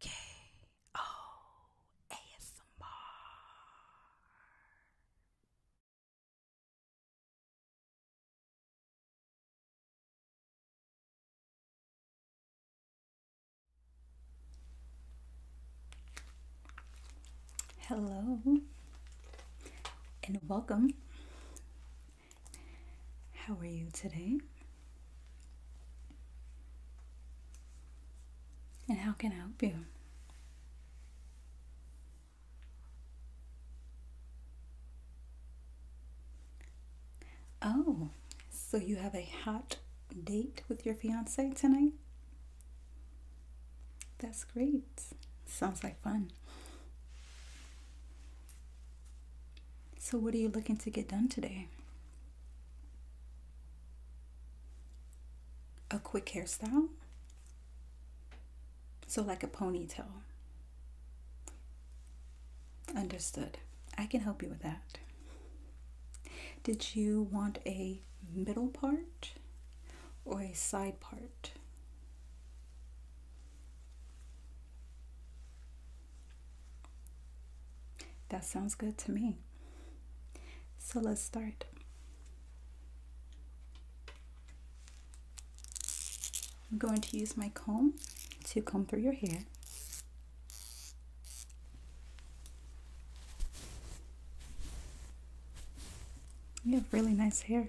K O Hello and welcome. How are you today? And how can I help you? Oh, so you have a hot date with your fiance tonight? That's great. Sounds like fun. So, what are you looking to get done today? a quick hairstyle. So, like a ponytail. Understood. I can help you with that. Did you want a middle part or a side part? That sounds good to me. So let's start. I'm going to use my comb to comb through your hair. You have really nice hair.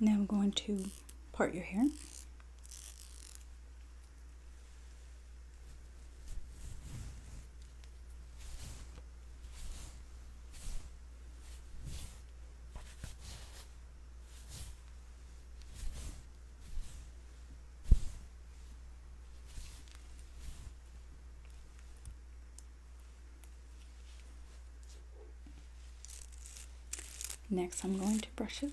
Now I'm going to part your hair. Next, I'm going to brush it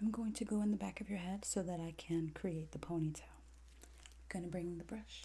I'm going to go in the back of your head so that I can create the ponytail. I'm going to bring the brush.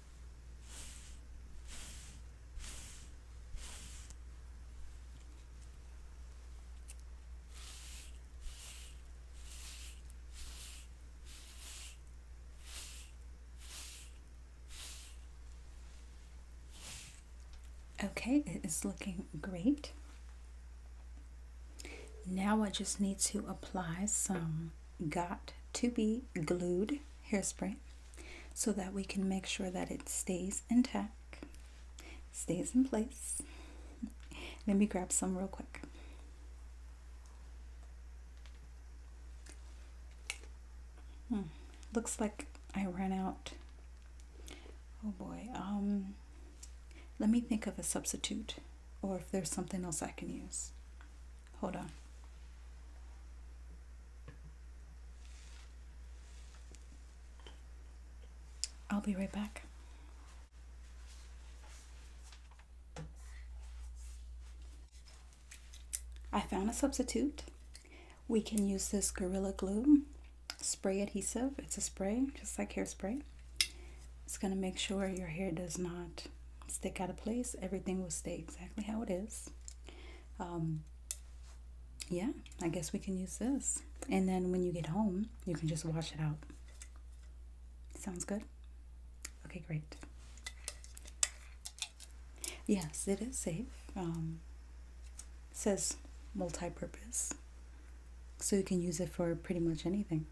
Okay, it is looking great. Now I just need to apply some got to be glued hairspray so that we can make sure that it stays intact, stays in place. Let me grab some real quick. Hmm, looks like I ran out. Oh boy. Um, let me think of a substitute or if there's something else I can use. Hold on. I'll be right back. I found a substitute. We can use this Gorilla Glue spray adhesive. It's a spray, just like hairspray. It's going to make sure your hair does not stick out of place, everything will stay exactly how it is. Um, yeah, I guess we can use this. And then when you get home, you can just wash it out. Sounds good? Okay, great. Yes, it is safe. Um, says multi-purpose. So you can use it for pretty much anything.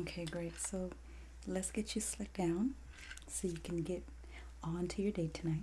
Okay, great. So let's get you slicked down so you can get on to your date tonight.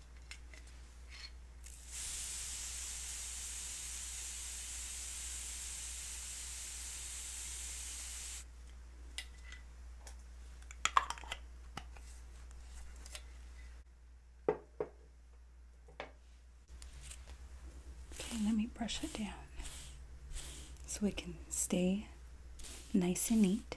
Okay, let me brush it down so it can stay nice and neat.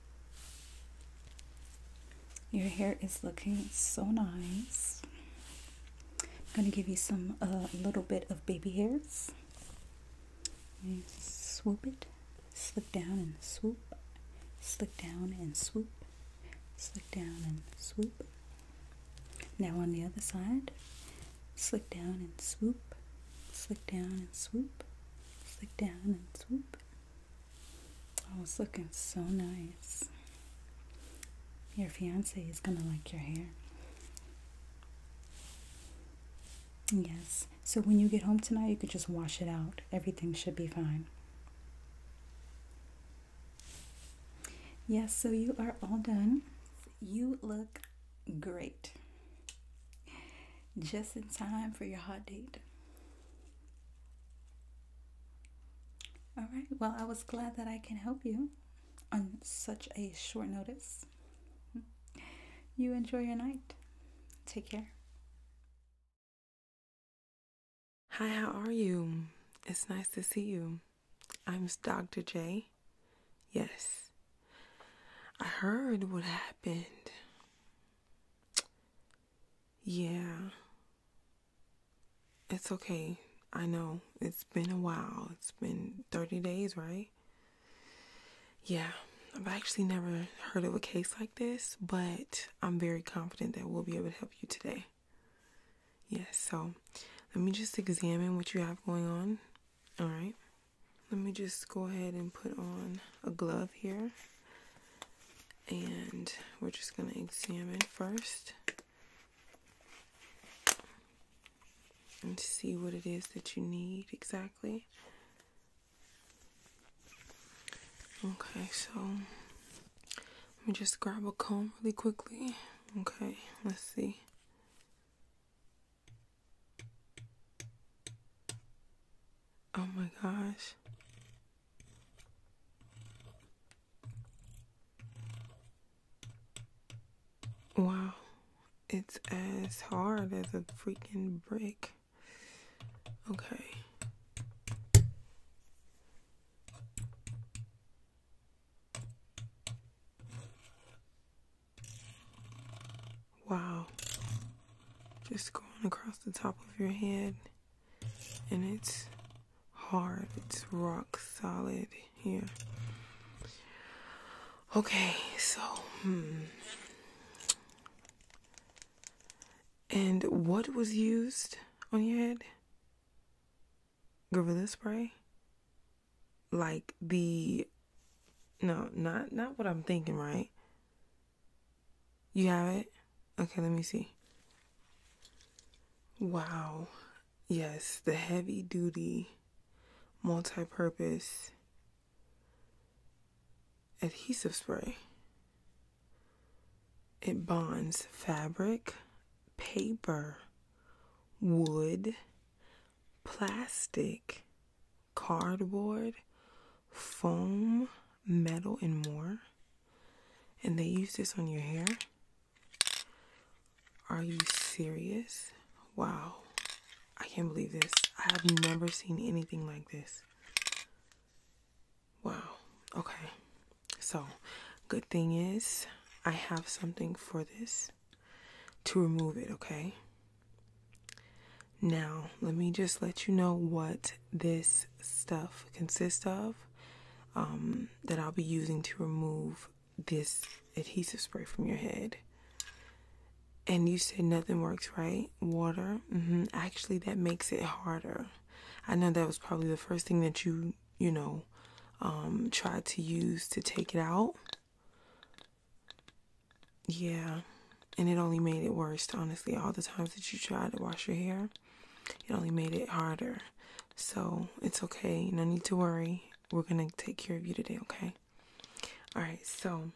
Your hair is looking so nice. I'm going to give you some, a uh, little bit of baby hairs. You swoop it, slick down and swoop, slick down and swoop, slick down and swoop. Now on the other side, slick down and swoop, slick down and swoop, slick down and swoop. Oh, it's looking so nice. Your fiance is gonna like your hair. Yes. So when you get home tonight, you could just wash it out. Everything should be fine. Yes, so you are all done. You look great. Just in time for your hot date. All right, well, I was glad that I can help you on such a short notice. You enjoy your night. Take care. Hi, how are you? It's nice to see you. I'm Dr. J. Yes. I heard what happened. Yeah. It's okay. I know. It's been a while. It's been 30 days, right? Yeah. I've actually never heard of a case like this, but I'm very confident that we'll be able to help you today. Yes, so let me just examine what you have going on. All right. Let me just go ahead and put on a glove here and we're just going to examine first and see what it is that you need exactly. Okay, so let me just grab a comb really quickly. Okay, let's see. Oh my gosh. Wow, it's as hard as a freaking brick. Okay. Wow. Just going across the top of your head and it's hard, it's rock solid here. Okay, so, hmm. And what was used on your head? Gorilla spray? Like the no, not not what I'm thinking, right? You have it? Okay, let me see. Wow. Yes, the heavy duty multi purpose adhesive spray. It bonds fabric, paper, wood, plastic, cardboard, foam, metal and more and they use this on your hair are you serious wow i can't believe this i have never seen anything like this wow okay so good thing is i have something for this to remove it okay now, let me just let you know what this stuff consists of um, that I'll be using to remove this adhesive spray from your head. And you said nothing works, right? Water. Mm-hmm. Actually, that makes it harder. I know that was probably the first thing that you, you know, um, tried to use to take it out. Yeah, and it only made it worse, honestly. All the times that you tried to wash your hair, it only made it harder. So it's okay. No need to worry. We're going to take care of you today, okay? All right, so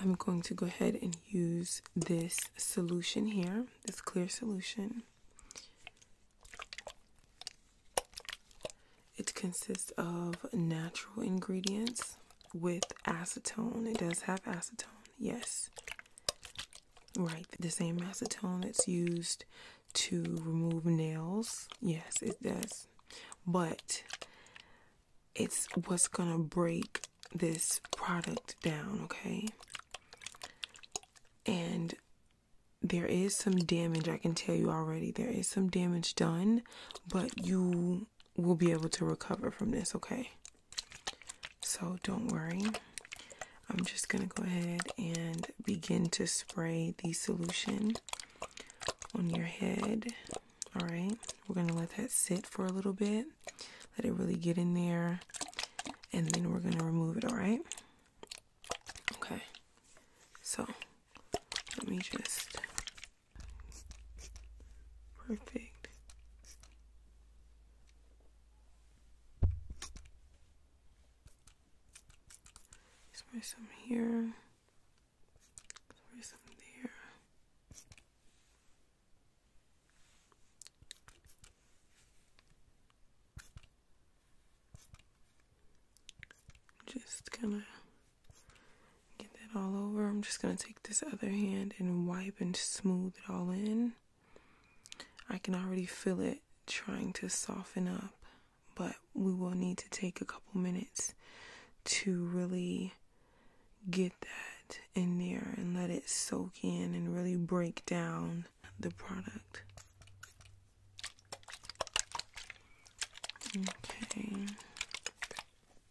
I'm going to go ahead and use this solution here, this clear solution. It consists of natural ingredients with acetone. It does have acetone, yes. Right, the same acetone that's used to remove nails. Yes, it does. But it's what's gonna break this product down, okay? And there is some damage, I can tell you already. There is some damage done, but you we'll be able to recover from this, okay? So don't worry. I'm just going to go ahead and begin to spray the solution on your head. All right. We're going to let that sit for a little bit. Let it really get in there. And then we're going to remove it, all right? Okay. So let me just Perfect. There's some here. There's some there. Just kind of Get that all over. I'm just going to take this other hand and wipe and smooth it all in. I can already feel it trying to soften up, but we will need to take a couple minutes to really get that in there and let it soak in and really break down the product. Okay.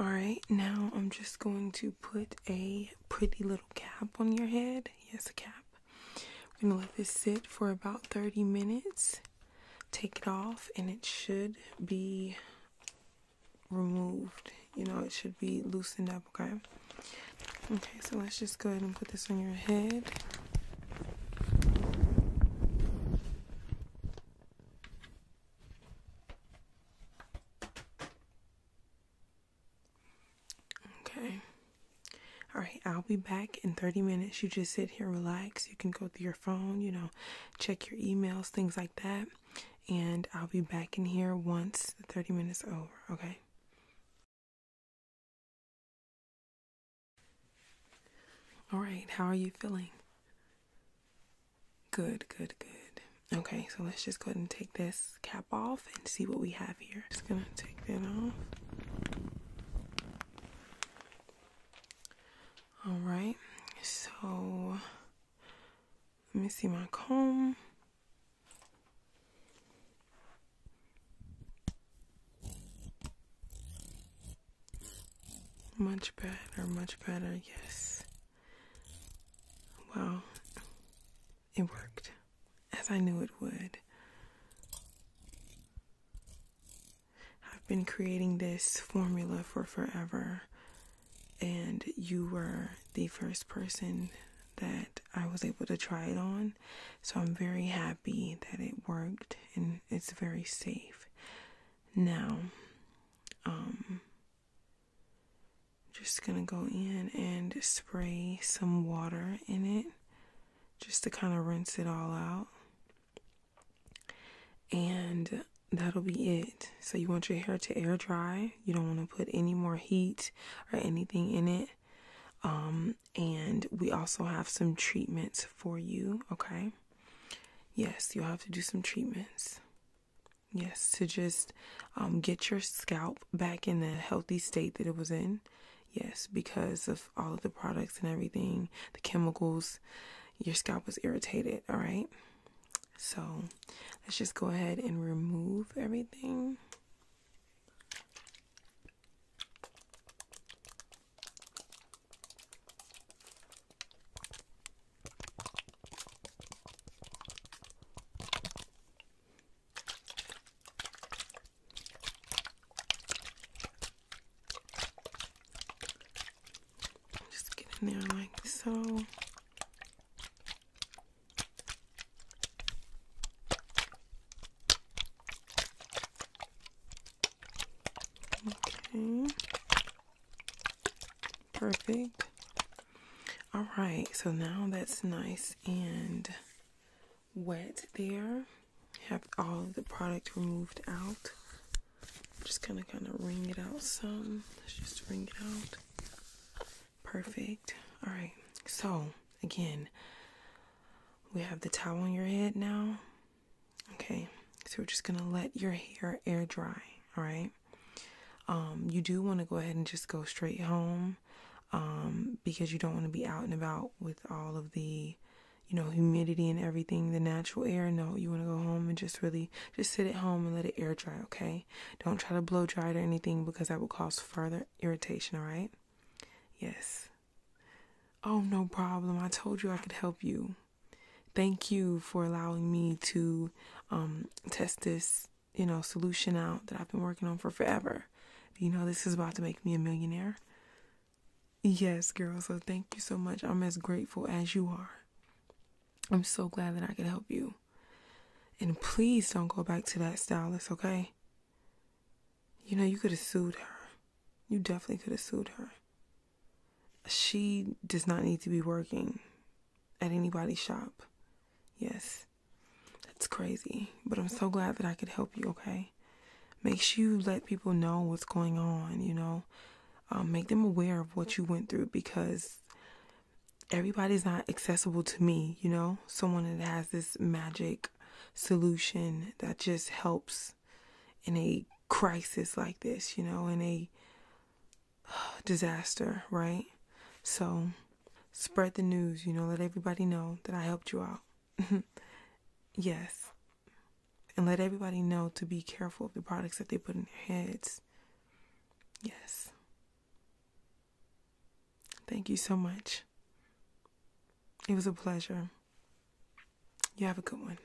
All right, now I'm just going to put a pretty little cap on your head. Yes, a cap. We're gonna let this sit for about 30 minutes. Take it off, and it should be removed. You know, it should be loosened up, okay? Okay, so let's just go ahead and put this on your head. Okay. All right, I'll be back in 30 minutes. You just sit here, relax. You can go through your phone, you know, check your emails, things like that. And I'll be back in here once the 30 minutes over, okay? All right, how are you feeling? Good, good, good. Okay, so let's just go ahead and take this cap off and see what we have here. Just gonna take that off. All right, so let me see my comb. Much better, much better, yes. Well, it worked, as I knew it would. I've been creating this formula for forever, and you were the first person that I was able to try it on. So I'm very happy that it worked and it's very safe. Now, um, I'm just gonna go in and spray some water in it just to kind of rinse it all out. And that'll be it. So you want your hair to air dry. You don't want to put any more heat or anything in it. Um, and we also have some treatments for you, okay? Yes, you'll have to do some treatments. Yes, to just um, get your scalp back in the healthy state that it was in. Yes, because of all of the products and everything, the chemicals, your scalp was irritated. All right. So let's just go ahead and remove everything. Just get in there like so. Okay. Perfect. All right, so now that's nice and wet there. Have all the product removed out. Just kind of, kind of wring it out some. Let's just wring it out. Perfect. All right, so again, we have the towel on your head now. Okay, so we're just gonna let your hair air dry. All right. Um, you do want to go ahead and just go straight home um, because you don't want to be out and about with all of the, you know, humidity and everything, the natural air. No, you want to go home and just really just sit at home and let it air dry, okay? Don't try to blow dry it or anything because that will cause further irritation, all right? Yes. Oh, no problem. I told you I could help you thank you for allowing me to um, test this, you know, solution out that I've been working on for forever. You know, this is about to make me a millionaire. Yes, girl. So thank you so much. I'm as grateful as you are. I'm so glad that I could help you. And please don't go back to that stylist, okay? You know, you could have sued her. You definitely could have sued her she does not need to be working at anybody's shop. Yes, that's crazy. But I'm so glad that I could help you, okay? Make sure you let people know what's going on, you know? Um, make them aware of what you went through because everybody's not accessible to me, you know? Someone that has this magic solution that just helps in a crisis like this, you know, in a disaster, right? So spread the news, you know, let everybody know that I helped you out. yes. And let everybody know to be careful of the products that they put in their heads. Yes. Thank you so much. It was a pleasure. You have a good one.